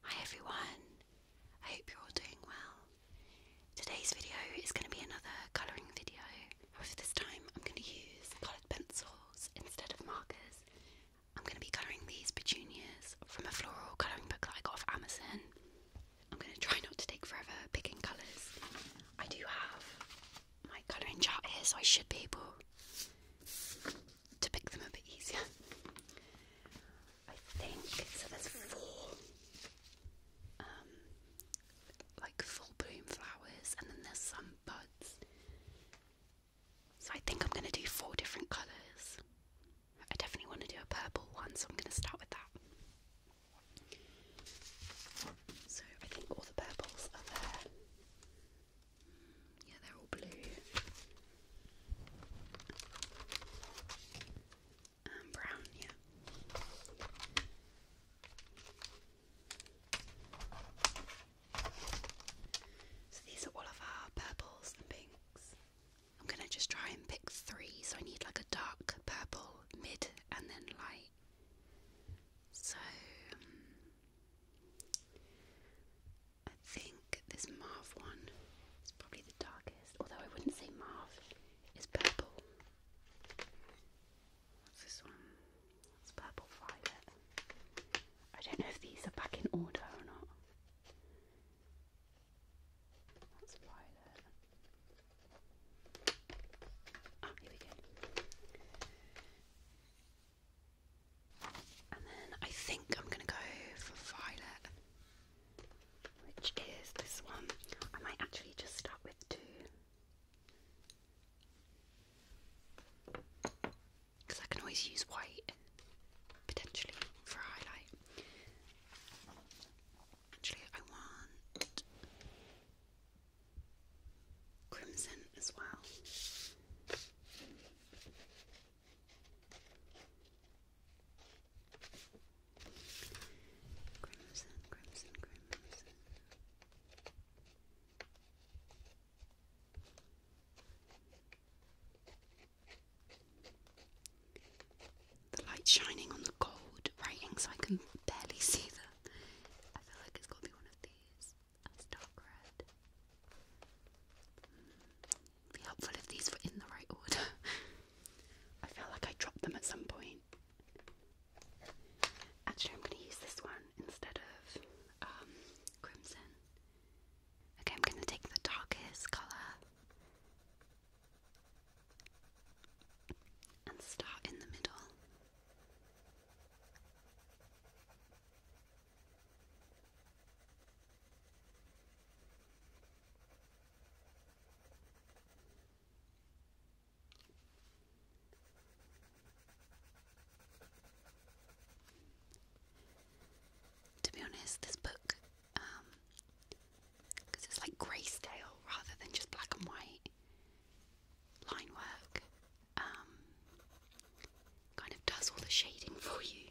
Hi everyone, I hope you're all doing well. Today's video is going to be another colouring video, however this time I'm going to use coloured pencils instead of markers. I'm going to be colouring these petunias from a floral colouring book that I got off Amazon. I'm going to try not to take forever picking colours. I do have my colouring chart here so I should be able to pick them a bit easier. I think so. There's four, um, like full bloom flowers, and then there's some buds. So I think I'm going to do four different colours. I definitely want to do a purple one, so I'm going to start with that. So I think all the purples are there. Yeah, they're all blue. And brown, yeah. So these are all of our purples and pinks. I'm gonna just try and pick three. So I need like a dark purple, mid, and then light. So um, I think this mauve one is probably the darkest, although I wouldn't say mauve, is purple. What's this one? It's purple violet. I don't know if these are back in order or not. That's violet. Ah, here we go. And then I think I'm going to go for violet, which is this one. I might actually just start with two. Because I can always use white, potentially, for a highlight. Actually, I want crimson as well. The light shining on the gold writing, so I can barely see that. I feel like it's got to be one of these. That's dark red be helpful if these were in the right order. I feel like I dropped them at some point. Actually, I'm going to use this one instead of um, crimson. Okay, I'm going to take the darkest colour and start in the middle. To be honest, this book, because um, it's like grayscale rather than just black and white line work, um, kind of does all the shading for you.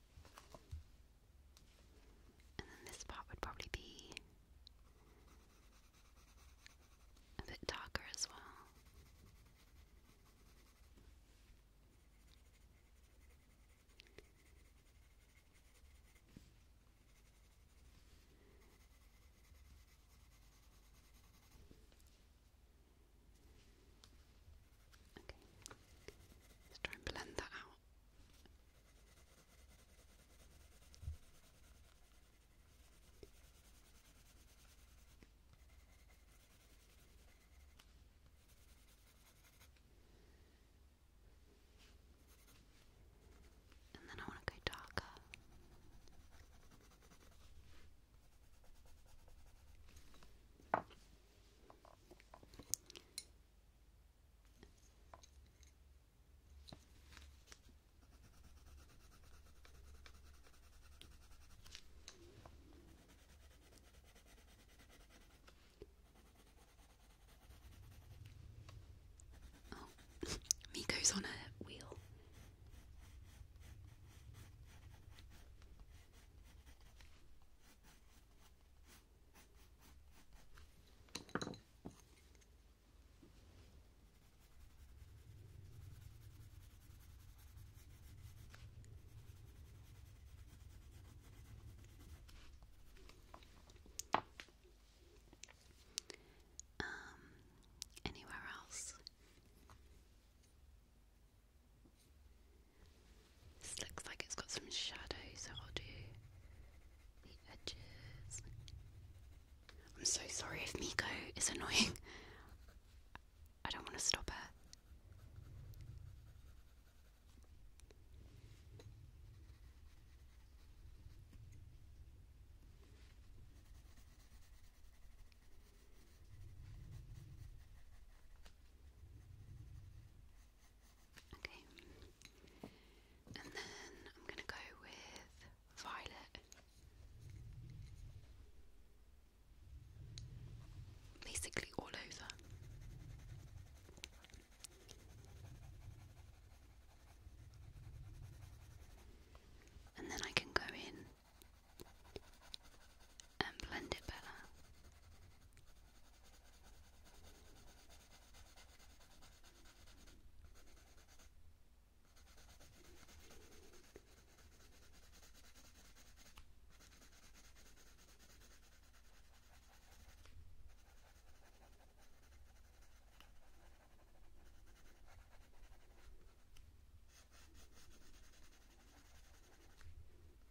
And then this part would probably be a bit darker as well. Okay. Let's try and blend that out. And then I want to go darker. Oh, Miko's on a wheel. Um, anywhere else? This looks like it's got some shadow, I'll do the edges. I'm so sorry if Miko is annoying. I don't want to stop her. Okay. And then I'm going to go with violet. Basically, all over. And then I can go in and blend it better.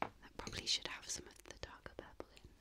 That probably should have some of the darker purple in.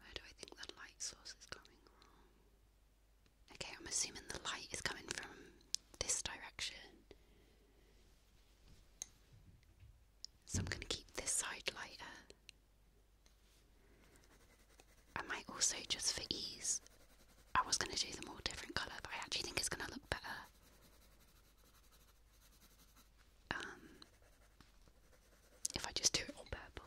Where do I think the light source is coming from? Okay, I'm assuming the light is coming from this direction. So I'm going to keep this side lighter. I might also, just for ease, I was going to do them all different colour, but I actually think it's going to look better um, if I just do it all purple.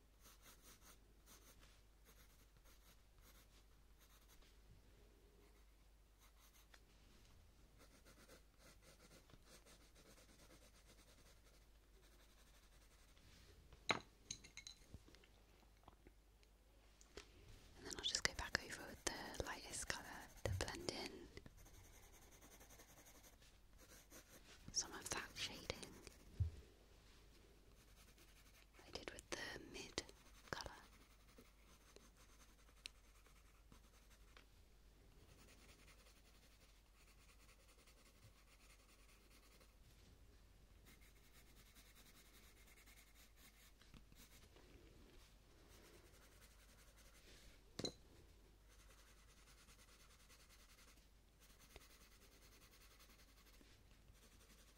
And then I'll just go back over with the lightest colour to blend in some of that shading. I did with the mid colour.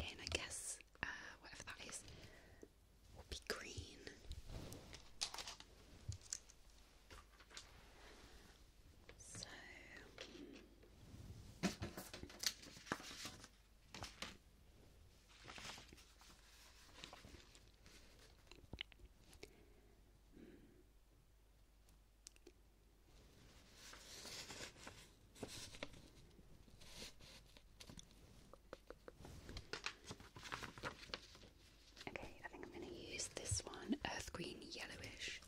Again, I guess uh, whatever that is will be green. So. Okay, I think I'm going to use this one, earth green yellowish.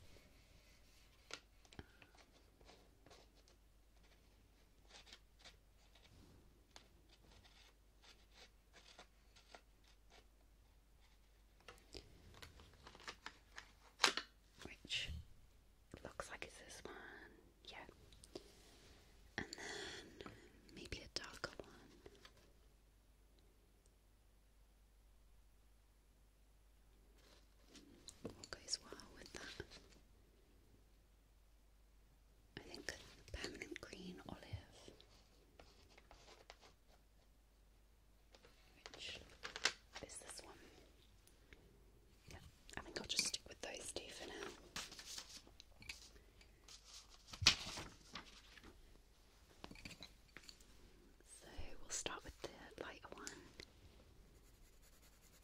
Which looks like it's this one, yeah. And then maybe a darker one. goes well with that? I think permanent green olive, which is this one. Yeah, I think I'll just stick with those two for now. So we'll start with the lighter one. And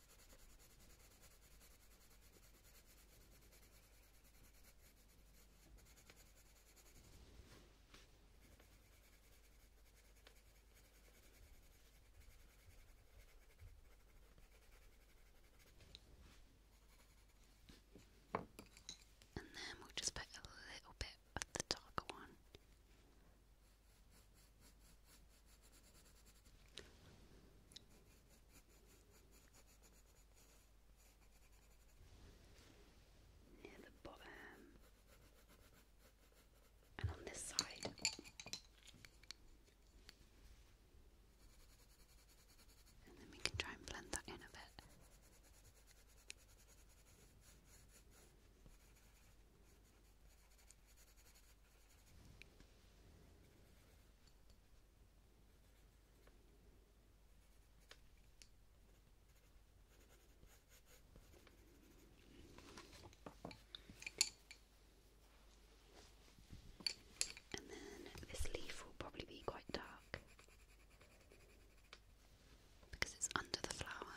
then we'll just put a little bit of the darker one near the bottom, and on this side. And then we can try and blend that in a bit. And then this leaf will probably be quite dark because it's under the flower.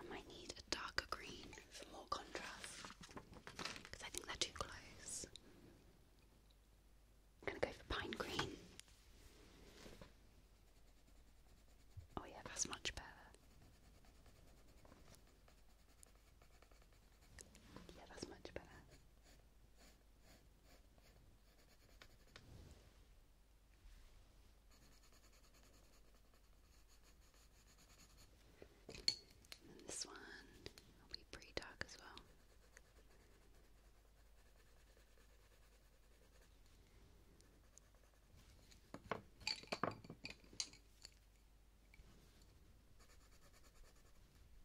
I might need a darker green for more contrast because I think they're too close. I'm gonna go for pine green. Oh, yeah, that's much better. Yeah, that's much better. And this one will be pretty dark as well.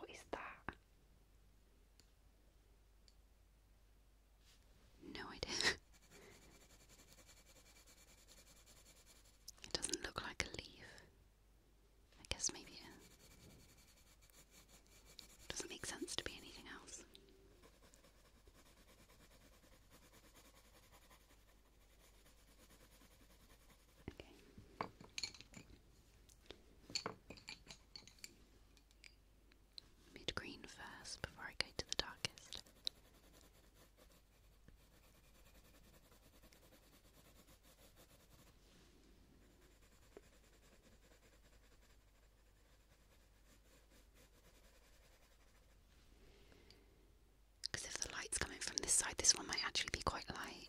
What is that? No idea. it doesn't look like a leaf. I guess maybe uh, doesn't make sense to be anything else. Okay. Mid green first before I go to the darkest. Because if the light's coming from this side, this one might actually be quite light.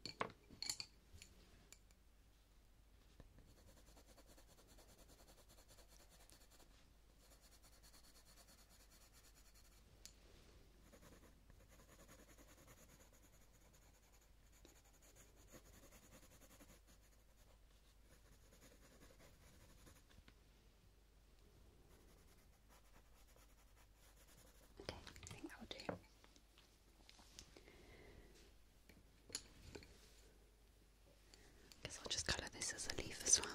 Okay, I think that will do. Guess I'll just colour this as a leaf as well.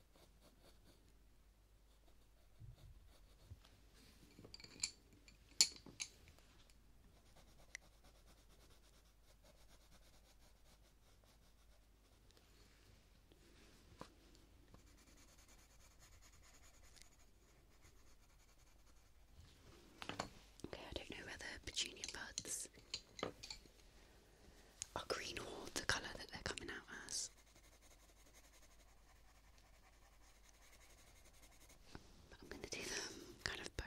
Okay, I don't know whether petunia buds are green or the colour that they're coming out as. But I'm going to do them kind of both.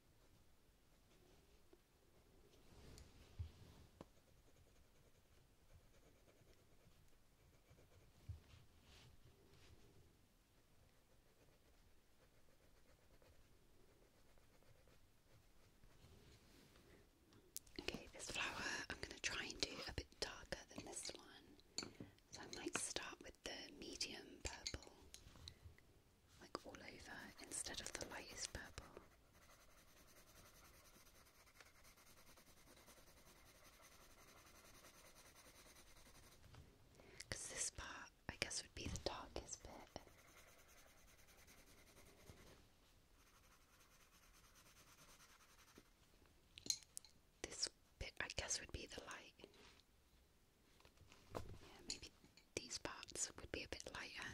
Okay, this flower I'm going to try and do a bit darker than this one. So I might start with the medium purple like all over, instead of the lightest purple. Because this part, I guess, would be the darkest bit. This bit, I guess, would be the light. Yeah, maybe these parts would be a bit lighter.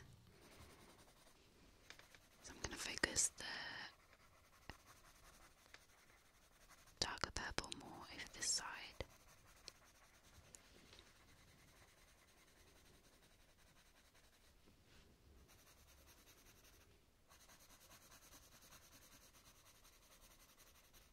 So I'm going to focus the darker purple more over this side.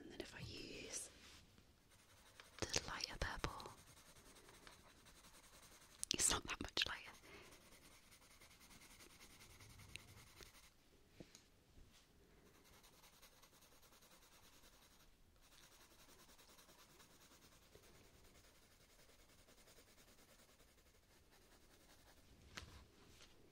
And then if I use the lighter purple, it's not that much lighter.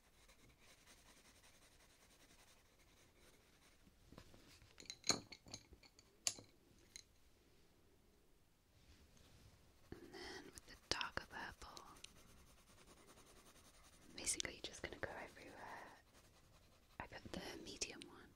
And then with the darker purple, I'm basically just going to go everywhere. I got the medium one.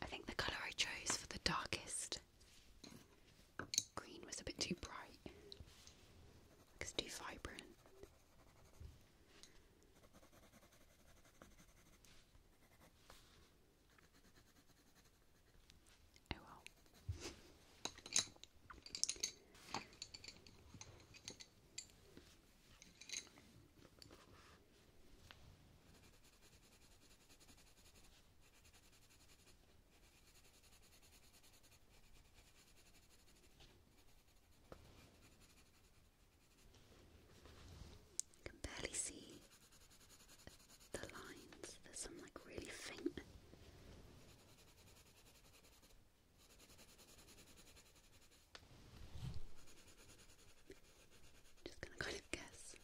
I think the colour I chose for the darkest green was a bit too bright. It's too vibrant. Oh well. You can barely see the lines. There's some like really faint. Just gonna kind of guess.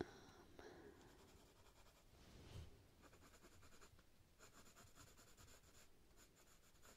Um,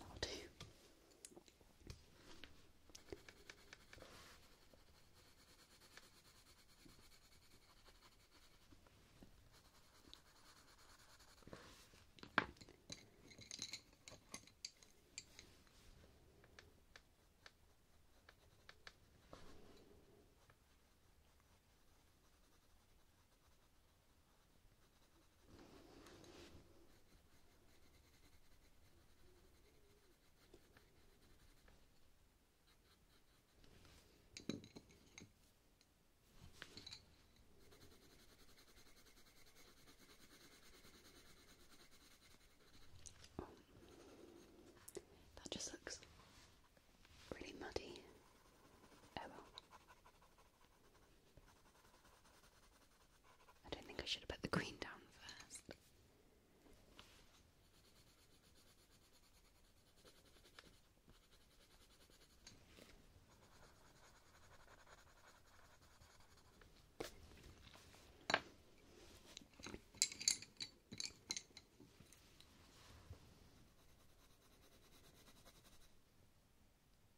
i will do. That just looks really muddy. Oh I don't think I should have put the green down first.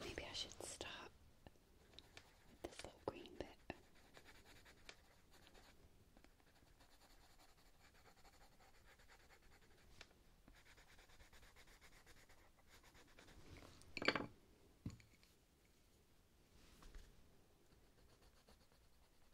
Maybe I should stop with this green bit.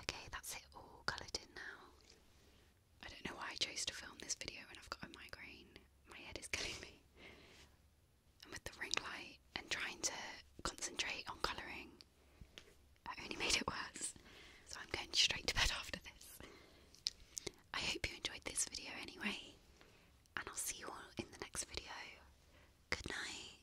Okay, that's it all coloured in now. I don't know why I chose to film this video when I've got a migraine. My head is killing me. And with the ring light and trying to concentrate on colouring, I only made it worse. So I'm going straight to bed after this. I hope you enjoyed this video anyway, and I'll see you all in the next video. Good night.